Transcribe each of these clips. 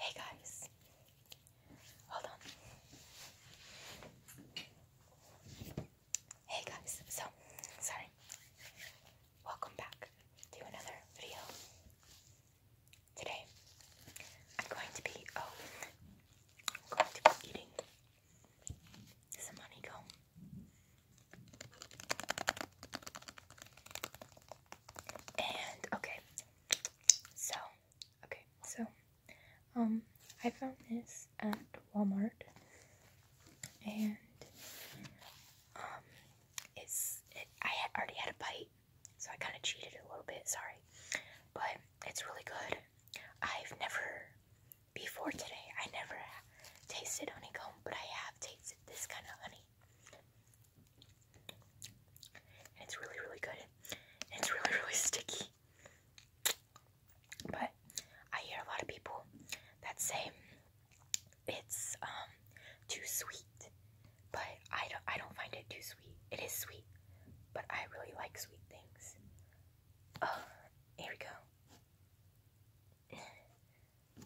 Hey guys, hold on. Hey guys, so sorry. Welcome back to another video. Today, I'm going to be oh, I'm going to be eating some honeycomb. And okay, so okay, so um, I found this at Walmart, and um, it's I already had a bite, so I kind of cheated a little bit. Sorry, but it's really good. I've never before today. I never tasted honeycomb, but I have tasted this kind of honey it's really, really good. it's really, really sticky. But I hear a lot of people that say it's um, too sweet. But I don't I don't find it too sweet. It is sweet, but I really like sweet things. Oh, here we go. Okay.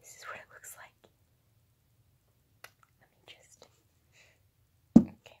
This is what it looks like. Let me just. Okay.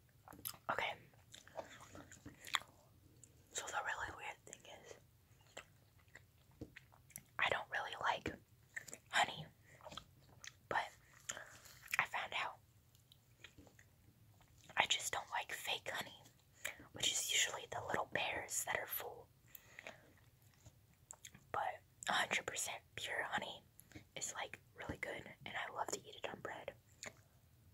Okay. So the really weird thing is I don't really like honey. But I found out I just don't like fake honey, which is usually the little bears that are full. But 100% pure honey is like really good, and I love to eat it on bread.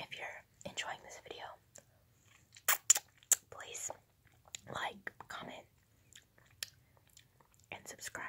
If you're enjoying this video, please like, comment, and subscribe.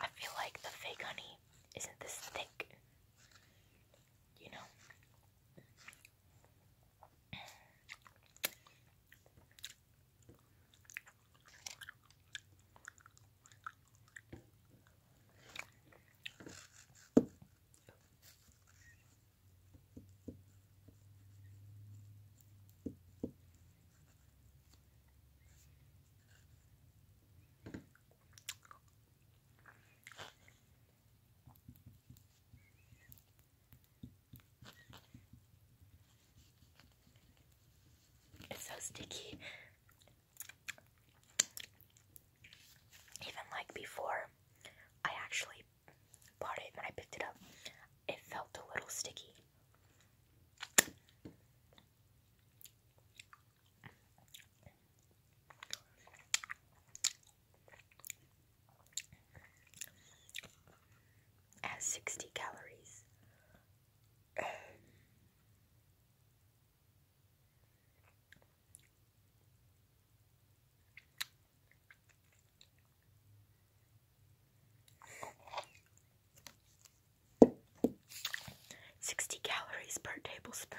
I feel like the fake honey isn't this thick, you know. It's so sticky. Even like before, I actually bought it when I picked it up, it felt a little sticky. Has 60 calories. 60 calories per tablespoon.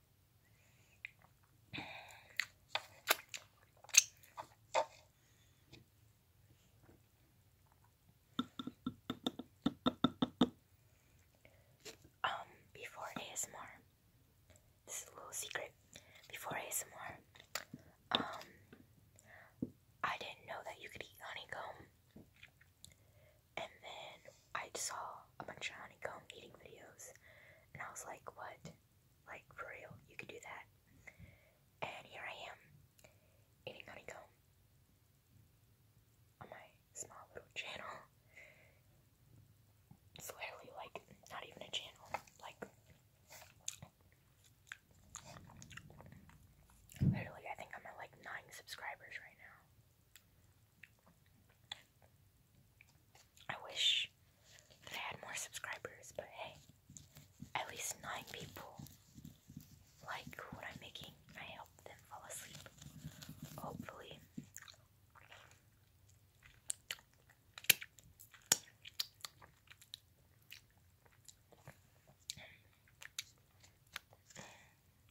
Um, before ASMR, this is a little secret. Before ASMR, um, I didn't know that you could eat honeycomb and then I saw a bunch of honeycomb eating videos, and I was like, what? Like, for real, you can do that. And here I am, eating honeycomb on my small little channel. It's literally like not even a channel, like, literally, I think I'm at like nine subscribers right now. I wish that I had more subscribers, but hey, at least nine people like what I'm making. I help them fall asleep. Hopefully.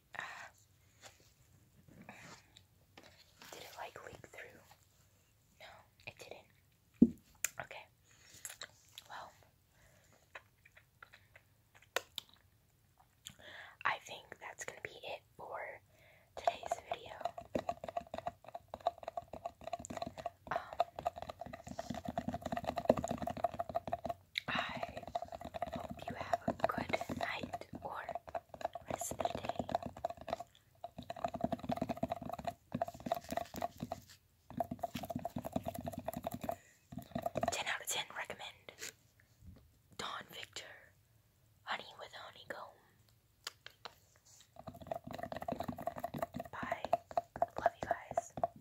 did it like leak through? No, it didn't. Okay. Well, I think that's going to be it for today's video. Um, I hope you have a good night or rest of the day. Ten out of ten recommend Don Victor Honey with Honeycomb. Bye. Love you guys.